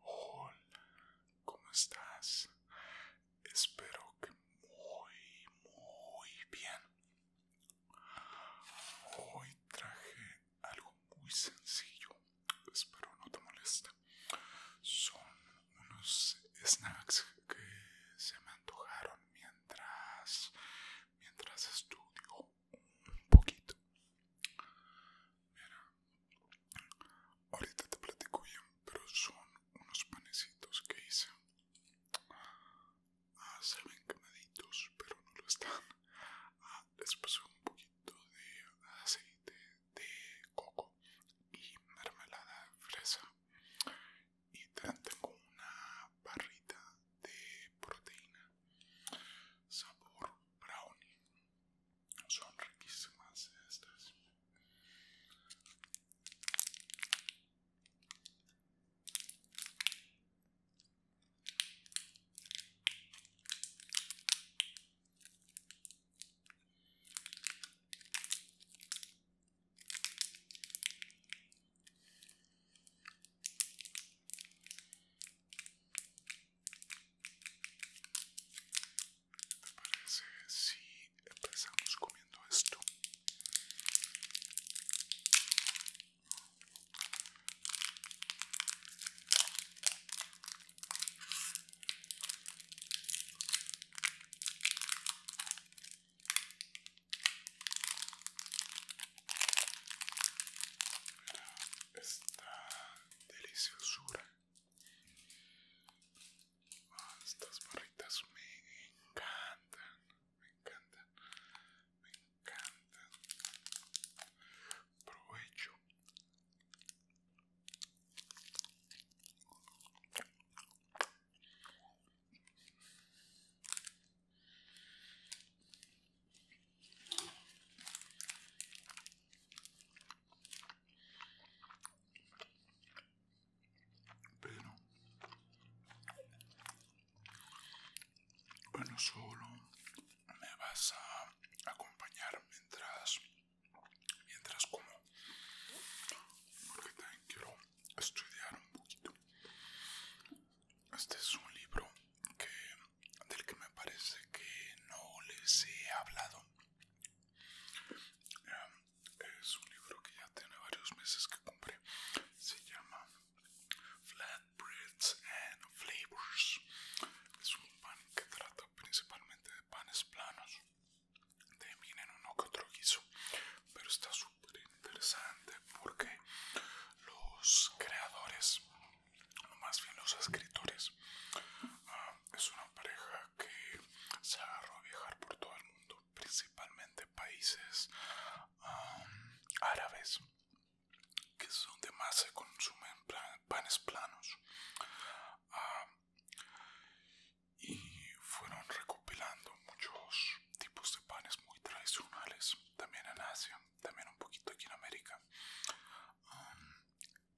Hola, ¿cómo estás? Espero que muy, muy bien. Hoy traje algo muy sencillo, espero no te moleste. Son unos snacks que se me antojaron mientras mientras estudio un poquito. Mira, ahorita te platico bien, pero son unos panecitos que hice. Ah, se ven quemaditos, pero no lo están. Ah, les puse un poquito de aceite de coco y mermelada fresa. Y tengo una barrita de proteína sabor brownie son riquísimas estas ¿Te parece si empezamos comiendo esto? esta deliciosura. Ah, estas barritas me encantan, me encantan, me encantan. Provecho. Pero bueno, solo me vas a acompañar mientras mientras como porque también quiero estudiar un poquito. Este es un libro que, del que me parece que no les he hablado. Em, es un libro que ya tiene varios meses que cumple Se llama Flatbreads and Flavors. Es un pan que trata principalmente de panes planos. de en uno que otro guiso, pero está súper interesante porque los creadores, o más bien los escritores, ah, es una pareja que se agarró a viajar por todo el mundo, principalmente países ah, árabes, que es donde más se consumen panes planos. Ah, y fueron recopilando muchos tipos de panes muy tradicionales también en Asia también un poquito aquí en América. Um,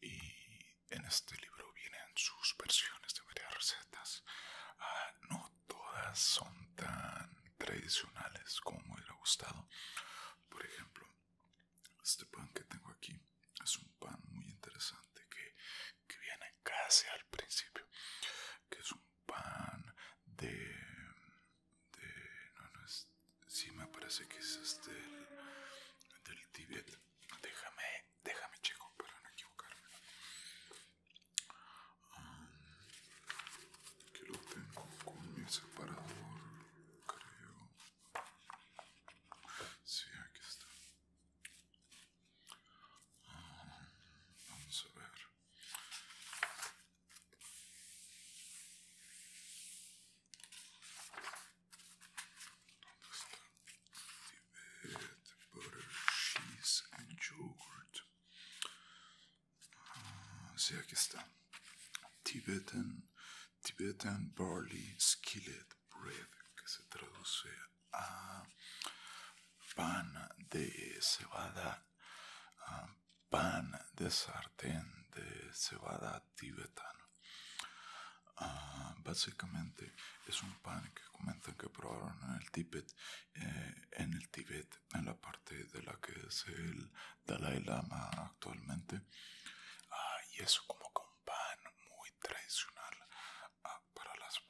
y en este libro vienen sus versiones de varias recetas. Ah, no todas son tan tradicionales como me hubiera gustado. Por ejemplo, este pan que tengo aquí es un pan muy interesante que, que viene casi al principio. Que es un pan de de no, no es, si me parece que es este del Tibet. Déjame, déjame checo para no equivocarme. Um, que lo tengo con mi separador, creo. Sí, aquí está. Um, vamos a ver. Tibet, butter, cheese and yogurt. Uh, sí, aquí está. Tibetan, Tibetan barley skillet bread, que se traduce a pan de cebada, pan de sartén de cebada tibetano. Ah, básicamente es un pan que comentan que probaron en el tibet eh, en el tibet en la parte de la que es el Dalai Lama actualmente. Ah, y es como que un pan muy tradicional ah, para las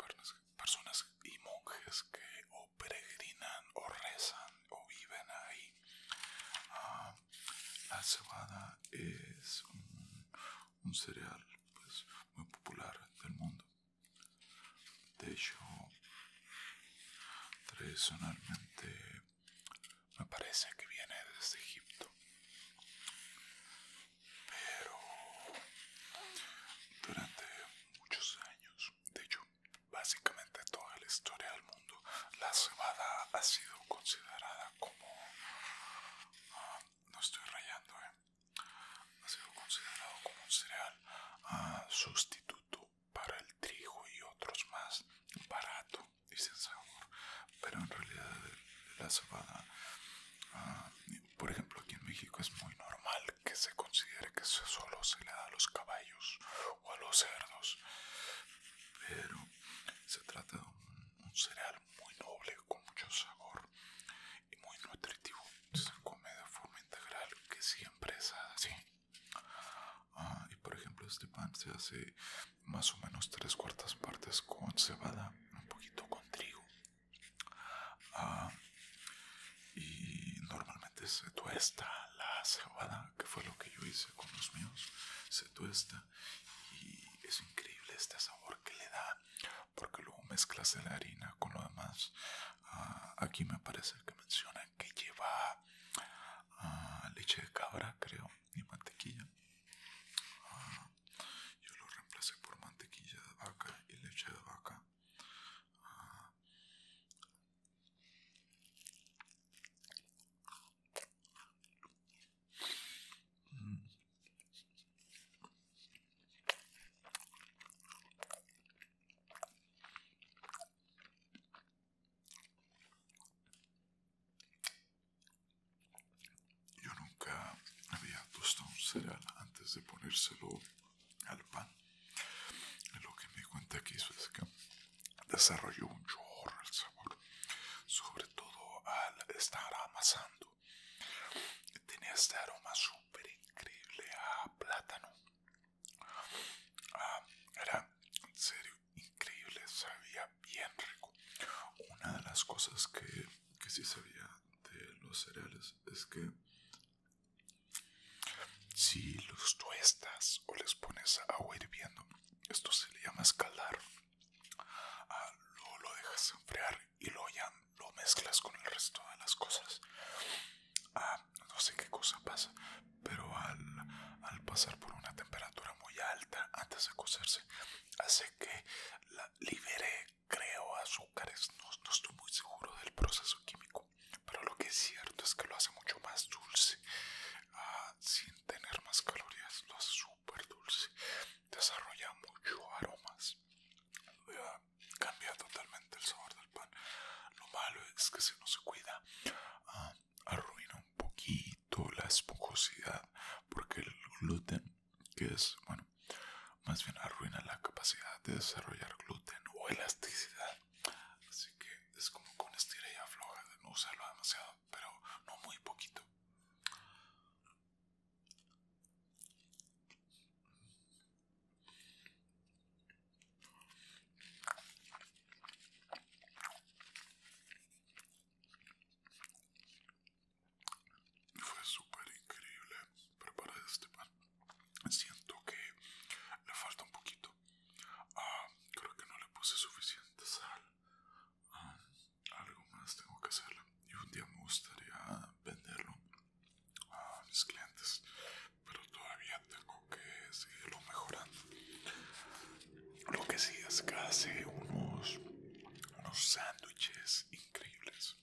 personas y monjes que peregrinan o rezan o viven ahí. Ah, la cebada es un, cereal pues, muy popular del mundo. De hecho, tradicionalmente me parece que viene desde Egipto. Pero durante muchos años, de hecho, básicamente toda la historia del mundo, la cebada ha sido considerada como... Ah, no estoy rayando, ¿eh? Ha sido considerado como un cereal ah, sustituto para el trigo y otros más, barato y sin sabor, pero en realidad eh, la cebada... Ah, por ejemplo, aquí en México es muy normal que se considere que solo se le da a los caballos o a los cerdos. Pero se trata de un, cereal muy noble, con mucho sabor y muy nutritivo. Se come de forma integral, que siempre es así. Ah, y por ejemplo, este pan se hace más o menos tres cuartas partes con cebada, un poquito con trigo, ah, y normalmente se tuesta la cebada, que fue lo que yo hice con los míos, se tuesta y es increíble este sabor que le da porque luego mezclas la harina con lo demás. Ah, aquí me parece que menciona que lleva ah, leche de cabra, creo, y mantequilla. Ah, yo lo reemplacé por mantequilla de vaca y leche de vaca. Yo nunca había tostado un cereal antes de ponérselo al pan. Lo que me cuenta que es que desarrolló un chorro el sabor, sobre todo al estar amasando. Tenía este aroma súper increíble a plátano. Ah, era en serio increíble, sabía bien rico. Una de las cosas que, que sí sabía de los cereales es que si los tuestas o les pones agua hirviendo, esto se le llama escalar. Ah, lo dejas enfriar y lo ya lo mezclas con el resto de las cosas. Ah, no sé qué cosa pasa, pero al, pasar por una temperatura muy alta antes de cocerse, hace que la libere, creo, azúcares. no estoy muy seguro del proceso químico pero lo que es cierto es que lo hace mucho más dulce, ah, sin tener más calorías, lo hace súper dulce, desarrolla mucho aromas, ah, cambia totalmente el sabor del pan. Lo malo es que si no se cuida, ah, arruina un poquito la esponjosidad, porque el gluten, que es, bueno, más bien arruina la capacidad de desarrollar gluten o elasticidad Así que es como con estira y afloja, no usarlo demasiado, pero no muy poquito. Fue súper increíble preparar este pan. Siento que le falta un poquito Ah, creo que no le puse suficiente sal. Ah, algo más tengo que hacerlo. Y un día me gustaría venderlo a mis clientes. Pero todavía tengo que seguirlo mejorando. Lo que sí es que hace unos unos sándwiches increíbles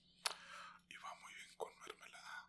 y va muy bien con mermelada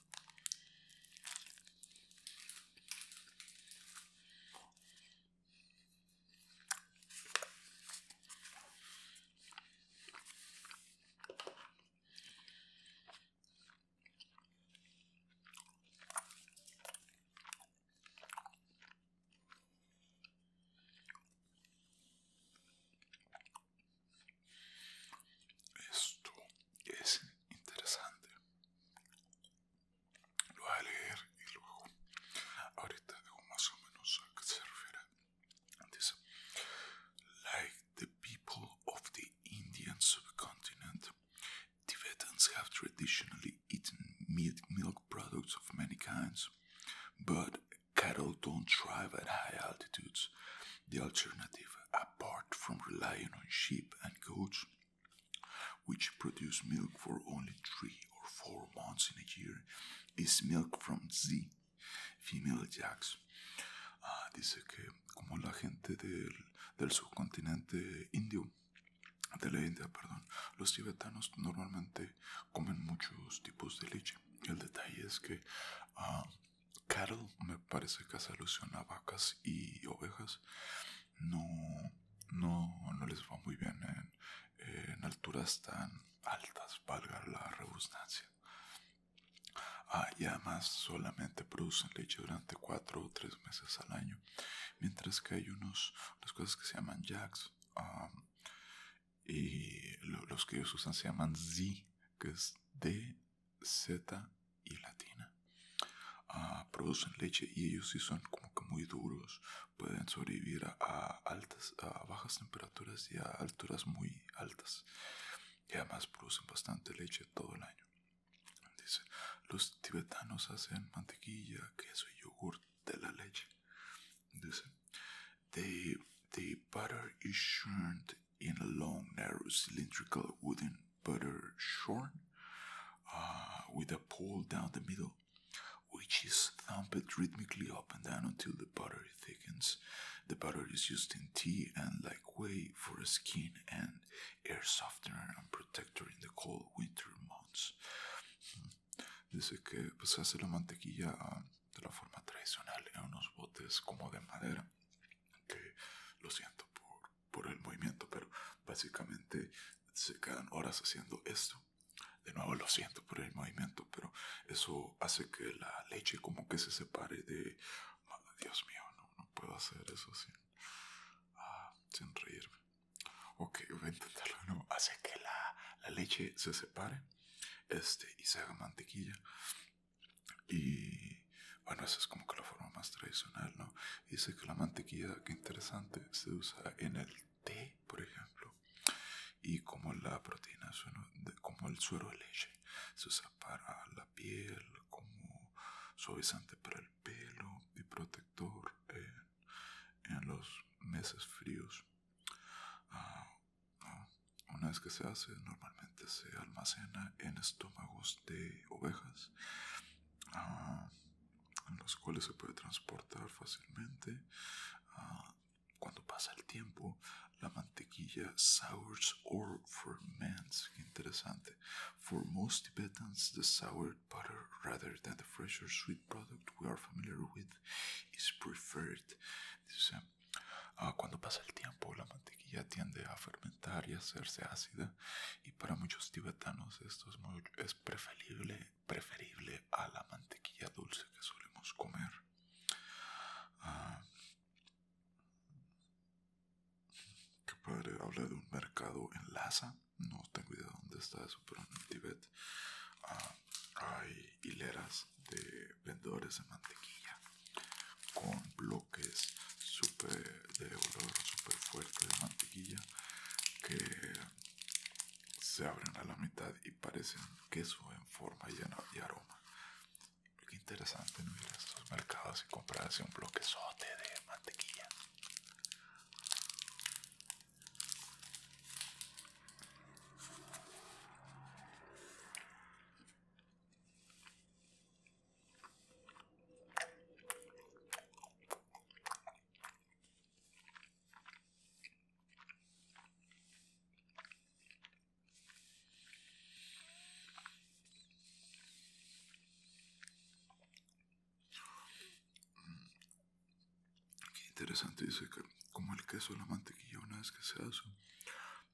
Esto es interesante. Lo voy a leer y luego ahorita digo más o menos a qué se refiere. Dice, like the people of the Indian subcontinent, Tibetans have traditionally eaten meat, milk products of many kinds, but cattle don't thrive at high altitudes. The alternative, apart from relying on sheep and goats, which produce milk for only three or four months in a year, is milk from Z, female jacks. Uh, dice que como la gente del, del subcontinente indio, de la India, perdón, los tibetanos normalmente comen muchos tipos de leche. El detalle es que ah, Carol, me parece que hace alusión a vacas y ovejas. No, no, no les va muy bien en, alturas tan altas, valga la redundancia. Ah, y además solamente producen leche durante 4 o 3 meses al año. Mientras que hay unos, unas cosas que se llaman jacks. y los que ellos usan se llaman Z, que es de Z y latina. Ah, producen leche y ellos sí son como que muy duros. Pueden sobrevivir a, altas, a bajas temperaturas y a alturas muy altas. Y además producen bastante leche todo el año. Dice, los tibetanos hacen mantequilla, queso y yogur de la leche. Dice, the butter is in a long, narrow, cylindrical wooden butter shorn uh, with a pole down the middle, which is thumped rhythmically up and down until the butter thickens. The butter is used in tea and like whey for a skin and air softener and protector in the cold winter months. Hmm. Dice que pues, la mantequilla ah, de la forma tradicional en unos botes como de madera, lo siento por por el movimiento, pero básicamente se quedan horas haciendo esto. De nuevo lo siento por el movimiento, pero eso hace que la leche como que se separe de... Ah, Dios mío, no, puedo hacer eso ah, sin, reírme. Ok, voy a intentarlo de nuevo. Hace que la, la leche se separe este, y se haga mantequilla. Y bueno, esa es como que la forma más tradicional, ¿no? Dice que la mantequilla, que interesante, se usa en el té, por ejemplo. Y como la proteína, como el suero de leche, se usa para la piel, como suavizante para el pelo y protector en, los meses fríos. Ah, una vez que se hace, normalmente se almacena en estómagos de ovejas, ah, en los cuales se puede transportar fácilmente. Ah, cuando pasa el tiempo, la mantequilla sours or ferments. Qué interesante. For most Tibetans, the soured butter, rather than the fresh or sweet product we are familiar with, is preferred. Ah, cuando pasa el tiempo, la mantequilla ya tiende a fermentar y hacerse ácida y para muchos tibetanos esto es, es preferible, preferible a la mantequilla dulce que solemos comer. Ah, que padre, habla de un mercado en Lhasa, no tengo idea dónde está eso, pero en Tibet ah, hay hileras de vendedores de mantequilla con que es super de olor super fuerte de mantequilla que se abren a la mitad y parecen queso en forma llena y aroma. Qué interesante no ir a estos mercados y comprarse un bloquezote de mantequilla. Qué interesante, dice que como el queso, la mantequilla, una vez que se hace,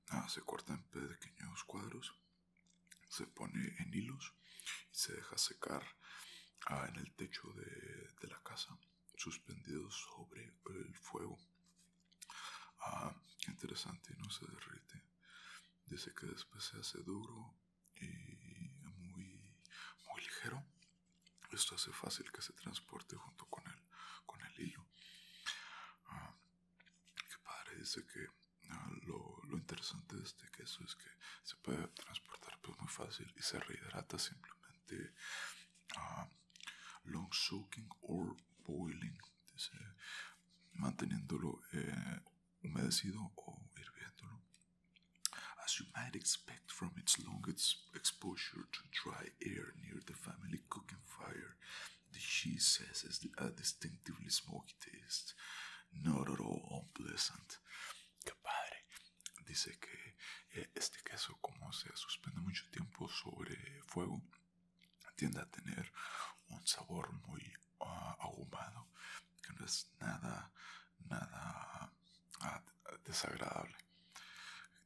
ah, se corta en pequeños cuadros se pone en hilos y se deja secar ah, en el techo de, la casa, suspendido sobre el fuego. Ah, interesante, no se derrite. Dice que después se hace duro y muy, muy ligero. Esto hace fácil que se transporte junto con el, con el hilo. Ah, qué que padre dice que lo, interesante de este queso es que se puede transportar pues, muy fácil y se rehidrata simplemente ah, long soaking or boiling, manteniéndolo eh, humedecido o hirviéndolo. As you might expect from its long exposure to dry air near the family cooking fire, The distinctively smoky taste, unpleasant. Dice que eh, este queso, como se suspende mucho tiempo sobre fuego, tiende a tener un sabor muy ah, ahumado, que no es nada, nada ah, desagradable.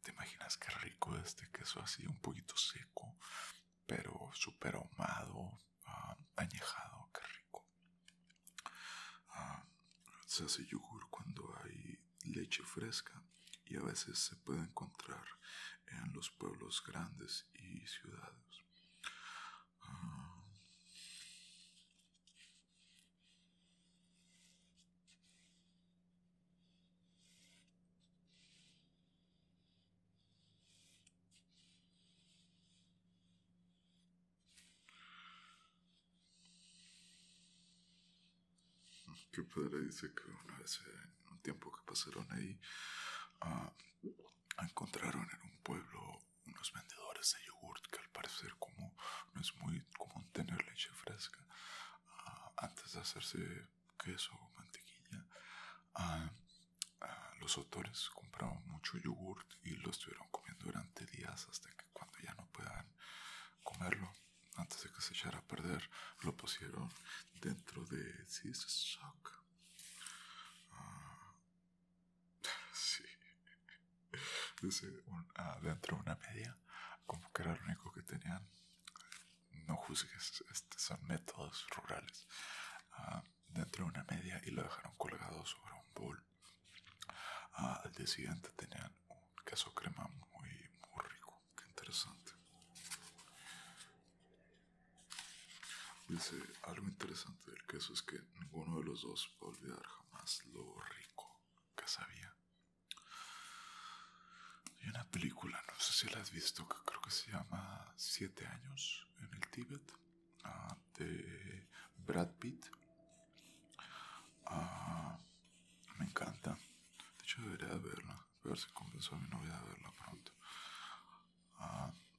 ¿Te imaginas qué rico este queso así, un poquito seco, pero súper ahumado, Ah, añejado, qué rico. Ah, se hace yogur cuando hay leche fresca y a veces se puede encontrar en los pueblos grandes y ciudades. Ah. Qué padre dice que una vez en un tiempo que pasaron ahí, ah, encontraron en un pueblo unos vendedores de yogurt que al parecer como no es muy común tener leche fresca. Ah, antes de hacerse queso, mantequilla. Ah, ah, los autores compraban mucho yogurt y lo estuvieron comiendo durante días hasta que cuando ya no puedan comerlo, antes de que se echara a perder, lo pusieron dentro de sí Sock. Ah, sí. dentro de una media, como que era lo único que tenían. No juzgues, estos son métodos rurales dentro de una media y lo dejaron colgado sobre un bol. Ah, al día siguiente tenían un queso crema muy, muy rico, qué interesante. Dice, algo interesante del queso es que ninguno de los dos va a olvidar jamás lo rico que sabía. Hay una película, no sé si la has visto, que creo que se llama Siete años en el tibet de Brad Pitt. me encanta. De hecho, debería de verla. A ver si convenzo a mi novia de verla pronto.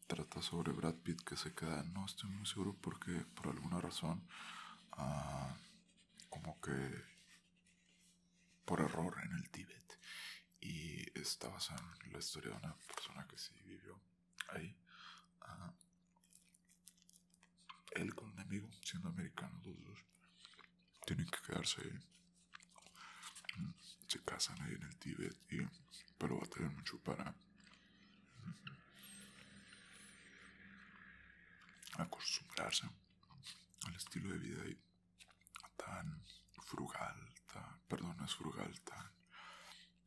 trata sobre Brad Pitt que se queda. No estoy muy seguro porque, por alguna razón, como que por error en el tibet y está basada en la historia de una persona que se vivió ahí. Ah, él con un amigo, siendo americanos los dos, tienen que quedarse ahí. Mm, se casan ahí en el Tíbet, y, pero tener mucho para acostumbrarse al estilo de vida ahí tan frugal, perdón, no es frugal, tan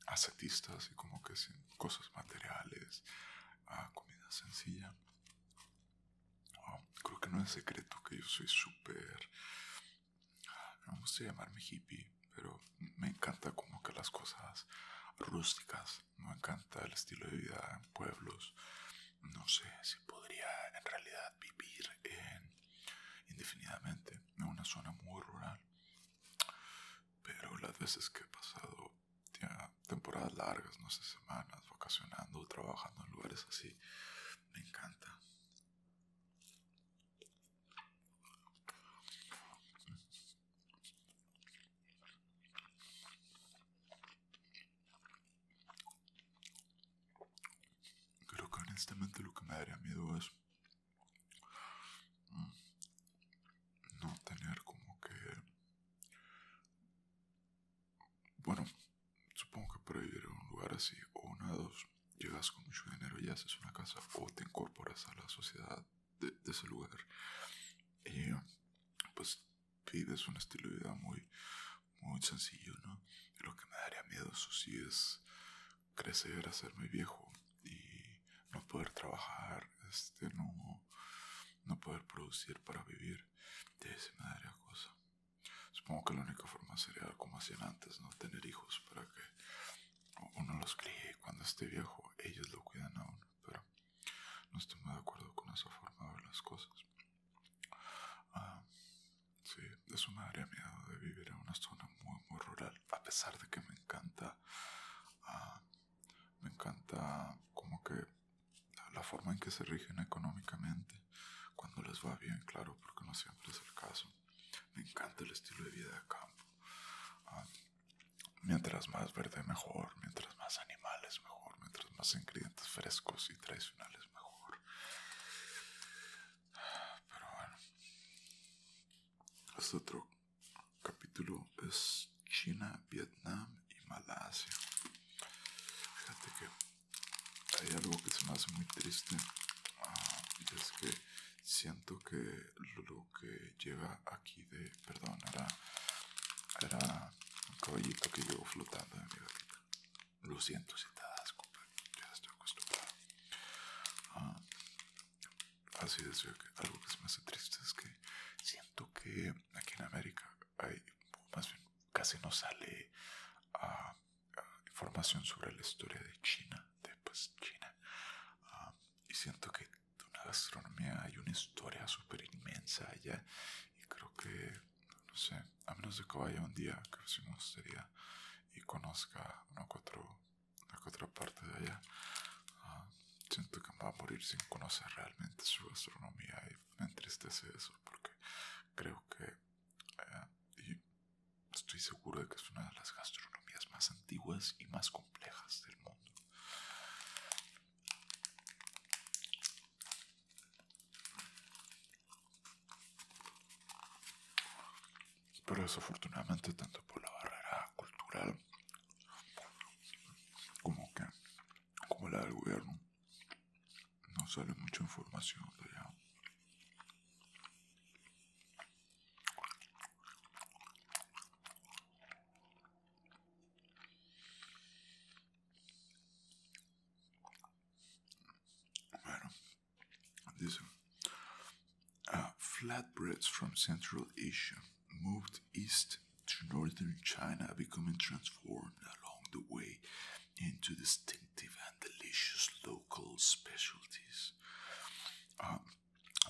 ascetista, así como que sin cosas materiales, a comida sencilla. Ah, creo que no es secreto que yo soy súper, no me gusta llamarme hippie, pero me encanta como que las cosas rústicas, me encanta el estilo de vida en pueblos. No sé si podría en realidad vivir en indefinidamente en una zona muy rural. Pero las veces que he pasado temporadas largas, no sé, semanas, vacacionando, trabajando en lugares así, me encanta. Creo que honestamente lo que me daría miedo es mm, no tener como que... Bueno, supongo que para vivir en un lugar así o una dos, llegas con mucho dinero y haces una casa o te incorporas a la sociedad de, ese lugar. Y pues vives un estilo de vida muy, muy sencillo, ¿no? Lo que me daría miedo, eso sí, es crecer, ser muy viejo y no poder trabajar, este, no, no poder producir para vivir, de esa manera cosa. Supongo que la única forma sería como hacían antes, no tener hijos para que uno los críe cuando esté viejo ellos lo cuidan a uno, pero no estoy muy de acuerdo con esa forma de ver las cosas. Ah, Sí, es un área mía de vivir en una zona muy, muy rural. A pesar de que me encanta, ah, me encanta como que la forma en que se rigen económicamente, cuando les va bien, claro, porque no siempre es el caso. Me encanta el estilo de vida de campo. Ah, mientras más verde, mejor. Mientras más animales, mejor. Mientras más ingredientes frescos y tradicionales, mejor. Pero bueno, este otro capítulo es China, Vietnam y Malasia. Fíjate que hay algo que se me hace muy triste ah, y es que siento que lo que llega aquí de. Perdón, era, era un caballito que llevo flotando de mi lo siento si te das cuenta, ya estoy acostumbrado. Ah, así es, algo que se me hace triste es que siento que aquí en América hay, más bien, casi no sale ah, ah, información sobre la historia de China, de pues, China. y siento que la gastronomía hay una historia súper inmensa allá y creo que, no sé, a menos de que vaya un día, creo que sí me gustaría y conozca una cuatro otra parte de allá, ah, siento que me va a morir sin conocer realmente su gastronomía y me entristece eso porque creo que, eh, y estoy seguro de que es una de las gastronomías más antiguas y más complejas del mundo. Pero desafortunadamente, tanto por la barrera cultural como que como la del gobierno, no sale mucha información de allá. These are uh, flatbreads from Central Asia moved east to northern China, becoming transformed along the way into distinctive and delicious local specialties. Um,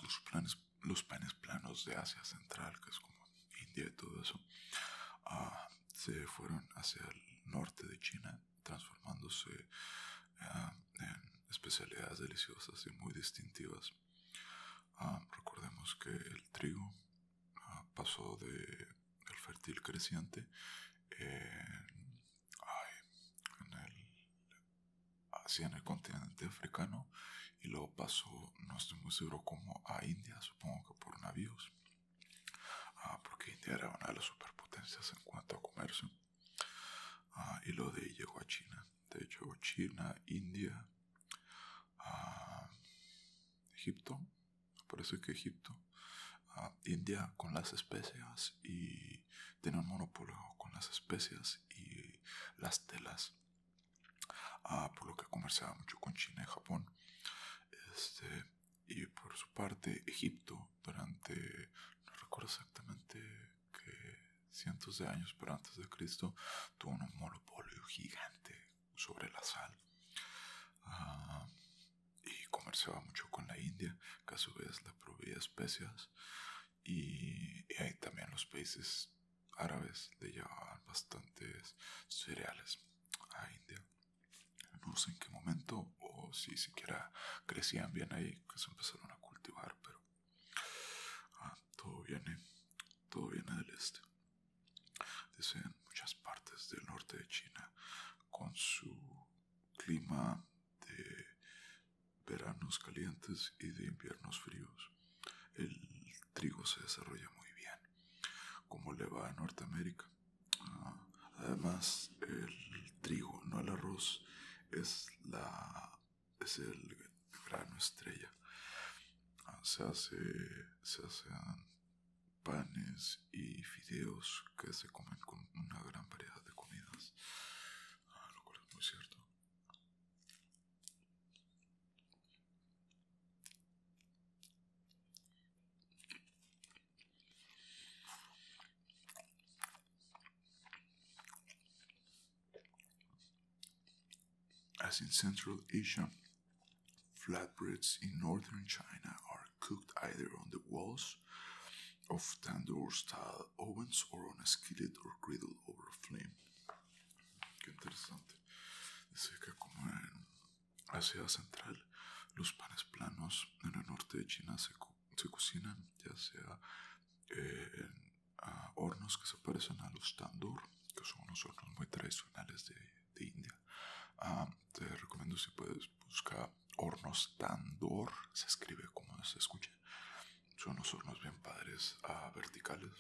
los, planes, los panes planos de Asia Central, que es como India y todo eso, ah, se fueron hacia el norte de China transformándose ah, en especialidades deliciosas y muy distintivas. Ah, recordemos que el trigo ah, pasó de el fértil creciente en, eh, en el, hacia el continente africano y luego pasó, no estoy muy seguro como, a India, supongo que por navíos Ah, porque India era una de las superpotencias en cuanto a comercio. Ah, y lo de ahí llegó a China. De hecho, China, India, ah, Egipto, parece que Egipto, ah, India con las especias y tenía un monopolio con las especias y las telas. por lo que comerciaba mucho con China y Japón. Este, y por su parte, Egipto, durante, no recuerdo exactamente que cientos de años, antes de Cristo, tuvo un monopolio gigante sobre la sal. Ah, y comerciaba mucho con la India, que a su vez la proveía especias. y ahí también los países árabes le llevaban bastantes cereales a India no sé en qué momento o si siquiera crecían bien ahí que se empezaron a cultivar pero ah, todo viene todo viene del este dice muchas partes del norte de China con su clima de veranos calientes y de inviernos fríos el trigo se desarrolla muy bien como le va a Norteamérica Ah, además, el trigo, no el arroz, es, la, es el grano estrella. Ah, se, hace, se hacen panes y fideos que se comen con una gran variedad de comidas, ah, lo cual es muy cierto. As in Central Asia, flatbreads in northern China are cooked either on the walls of tandoor style ovens or on a skillet or griddle over a flame. Qué interesante. Dice que como en Asia Central, los panes planos en el norte de China se cubren se cocinan ya sea en eh, hornos que se parecen a los tandoor que son unos hornos muy tradicionales de, India. Ah, te recomiendo si puedes buscar hornos tandoor se escribe como se escucha. Son unos hornos bien padres, a ah, verticales,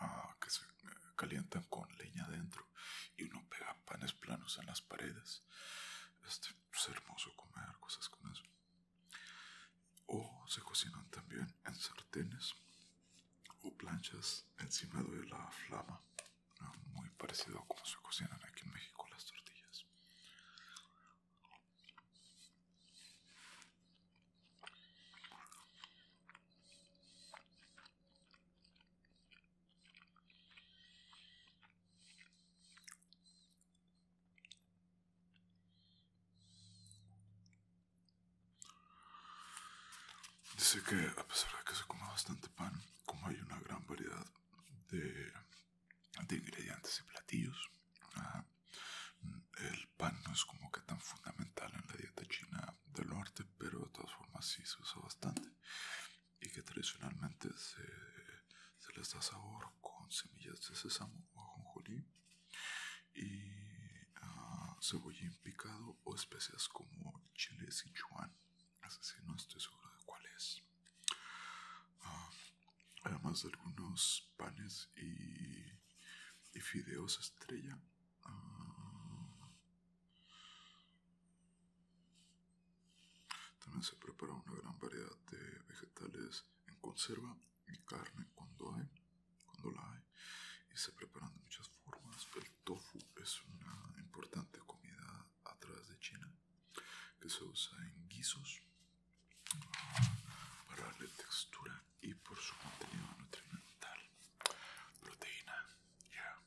ah, que se eh, calientan con leña dentro y uno pega panes planos en las paredes. Este, es, pues, hermoso comer cosas con eso. O se cocinan también en sartenes o planchas encima de la flama, muy parecido a como se cocinan aquí en México las tortillas. Dice que a pesar de que se come bastante pan, como hay una gran variedad de, ingredientes y platillos, El pan no es como que tan fundamental en la dieta china del norte, pero de todas formas sí se usa bastante y que tradicionalmente se, les da sabor con semillas de sésamo o ajonjolí y cebolla ah, cebollín picado o especias como chile sichuan, así no estoy seguro de cuál es. Ah, además de algunos panes y, y fideos estrella. Ah, también se prepara una gran variedad de vegetales en conserva y carne cuando hay, cuando la hay, y se preparan de muchas formas. El tofu es una importante comida a través de China que se usa en guisos ah, para darle textura y por su contenido nutrimental. Proteína, ya.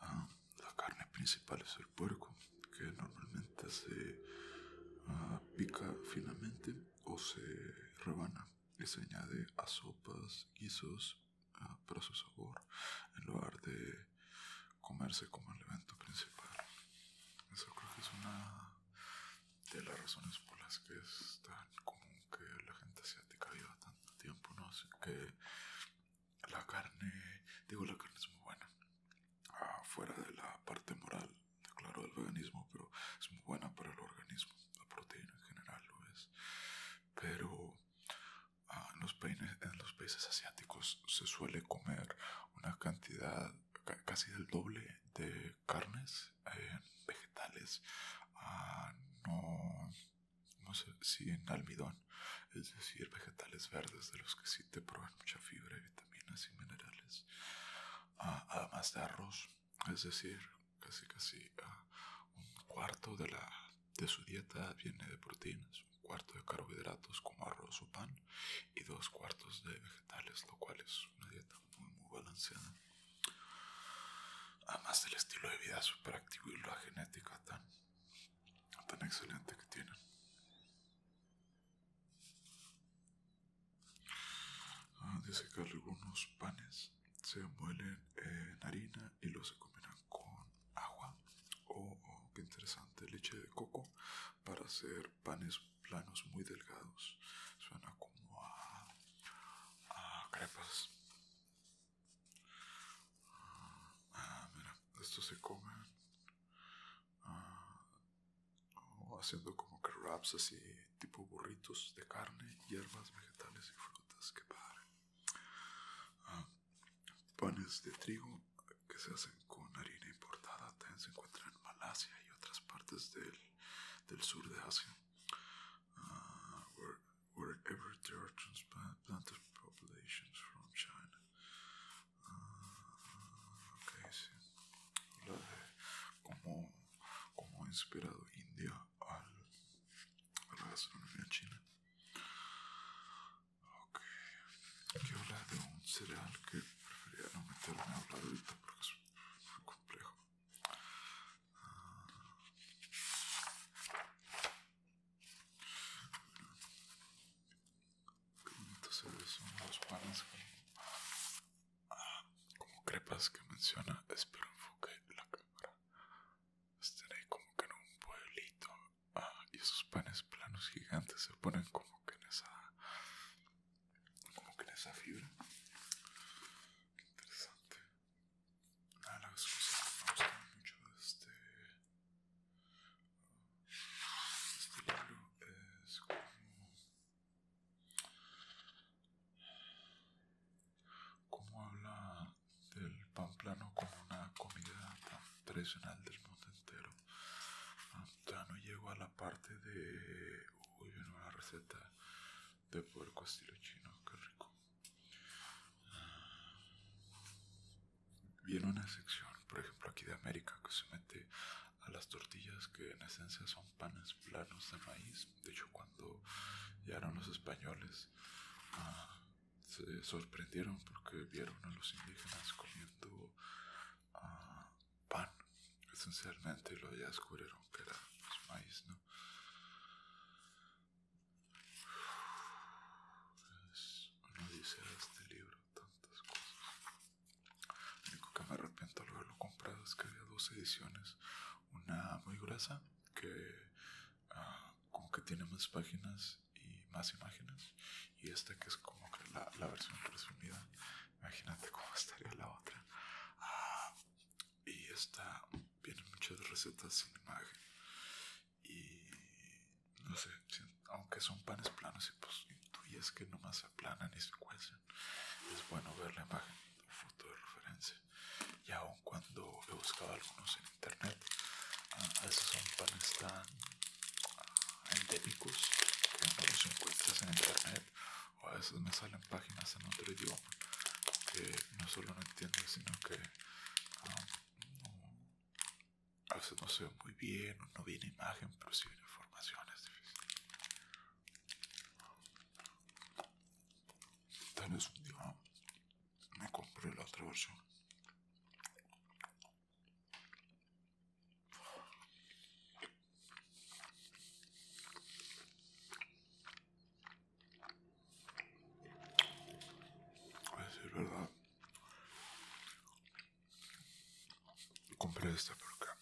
Ah, la carne principal es el puerco, que normalmente se ah, pica finamente o se rebana y se añade a sopas, guisos, ah, para su sabor, en lugar de comerse como elemento principal. Eso creo que es una de las razones por las que es tan común que la gente asiática viva tanto tiempo, ¿no? Así que la carne, digo, la carne es muy buena. Ah, fuera de la parte moral, claro, del veganismo, pero es muy buena para el organismo. La proteína en general lo es. Pero ah, en, los países, los asiáticos se suele comer una cantidad casi del doble de carnes, vegetales, ah, no, no sé si en almidón es decir, vegetales verdes de los que sí te proveen mucha fibra y vitaminas y minerales, ah, además de arroz, es decir, casi casi ah, un cuarto de, de su dieta viene de proteínas, un cuarto de carbohidratos como arroz o pan y dos cuartos de vegetales, lo cual es una dieta muy muy balanceada. Además del estilo de vida superactivo y la genética tan tan excelente que tienen. Ah, dice que algunos panes se muelen en harina y los se combinan con agua. o oh, oh, qué interesante, leche de coco para hacer panes planos muy delgados. Suena como a crepas. Ah, se comen. Ah, haciendo como que wraps así, tipo burritos de carne, hierbas, vegetales y frutas. Que padre. Ah, panes de trigo que se hacen con harina importada también se encuentran en Malasia y otras partes del, sur de Asia. wherever there are transplanted populations from China. Ah, ok, sí. habla de cómo, ha inspirado India al, a la gastronomía china. Ok, aquí habla de un cereal que preferiría no meterme a hablar ahorita porque es muy complejo. Ah, que son los panes ah, como, crepas que menciona. Espero enfoque la cámara. Están ahí como que en un pueblito. Ah, y esos panes planos gigantes se ponen como que en esa. como que en esa fibra. interesante. Nada, la cosas que me gustan mucho este este libro es como, como habla del pan plano como una comida tan tradicional del mundo entero. Ah, ya no llego a la parte de uy, una receta de puerco estilo chino, qué rico viene una sección, por ejemplo aquí de América, que se mete a las tortillas que en esencia son panes planos de maíz. De hecho, cuando llegaron los españoles, ah, se sorprendieron porque vieron a los indígenas comiendo ah, pan, esencialmente, lo ya descubrieron que era pues, maíz, ¿no? Pues, no dice este libro, tantas cosas. Lo único que me arrepiento al haberlo comprado es que había dos ediciones. Una muy gruesa, que ah, como que tiene más páginas y más imágenes. Y esta que es como que la, versión resumida. Imagínate cómo estaría la otra. Ah, y esta tiene muchas recetas sin imagen. Y no sé, aunque son panes planos y pues intuyes que nomás se aplanan y se cuecen, es bueno ver la imagen de foto de referencia. Y aun cuando he buscado algunos en internet, a ah, veces son panes tan endémicos que no los encuentras en internet o a veces me salen páginas en otro idioma que no solo no entiendo, sino que ah, a veces no se ve muy bien, no viene imagen, pero si viene información, es difícil. Tal un día me compré la otra versión. Es decir, verdad. Compré esta por acá.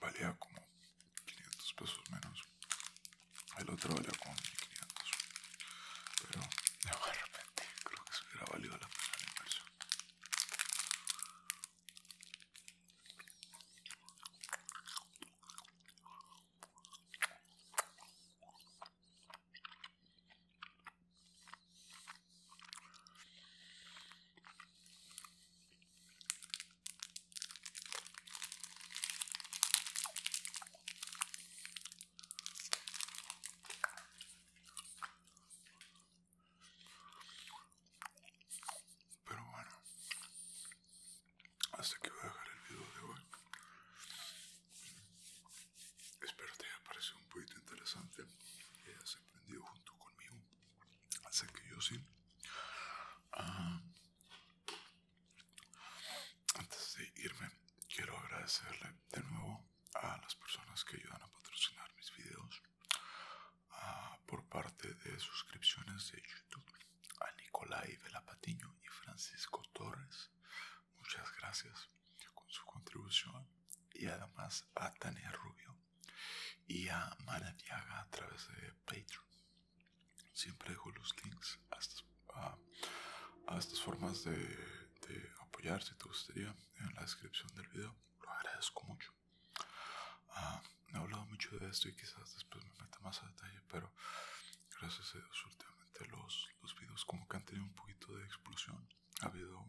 Valía como 500 pesos menos. El otro valía como 1500. Pero de repente creo que se hubiera valido la pena la inversión. Pero bueno, hasta que voy a dejar el video de hoy. Espero te haya parecido un poquito interesante y hayas aprendido junto conmigo. Así que yo sí. Ah, antes de irme, quiero agradecerle de nuevo a las personas que ayudan a patrocinar mis videos ah, por parte de suscripciones de YouTube a Nicolai Velapatiño y Francisco Torres Muchas gracias con su contribución y además a Tania Rubio y a Diaga a través de Patreon. Siempre dejo los links a estas, a, estas formas de, apoyar si te gustaría en la descripción del video. Lo agradezco mucho. Ah, he hablado mucho de esto y quizás después me meta más a detalle, pero gracias a Dios últimamente los, los videos como que han tenido un poquito de explosión. Ha habido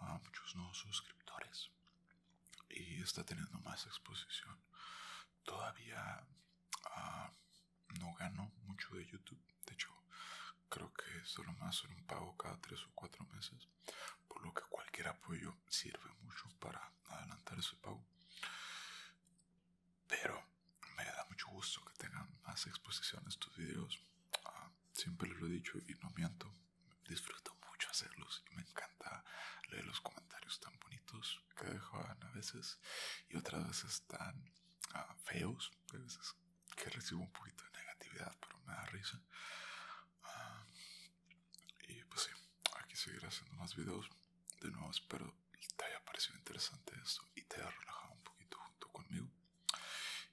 ah, muchos nuevos suscriptores y está teniendo más exposición. Todavía ah, no gano mucho de YouTube. De hecho, creo que solo más son un pago cada tres o cuatro meses. Por lo que cualquier apoyo sirve mucho para adelantar ese pago. Pero me da mucho gusto que tengan más exposición estos videos. Ah, siempre les lo he dicho y no miento. Disfruto mucho hacerlos y me encanta leer los comentarios tan bonitos que dejan a veces y otras veces tan ah, feos. A veces que recibo un poquito de negatividad, pero me da risa. Ah, y pues sí, aquí seguir haciendo más videos. De nuevo, espero te haya parecido interesante esto y te haya relajado un poquito junto conmigo.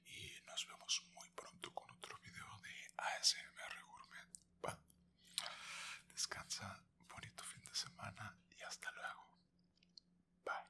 Y nos vemos muy pronto con otro video de ASMR Gourmet. Descansa, bonito fin de semana y hasta luego. Bye.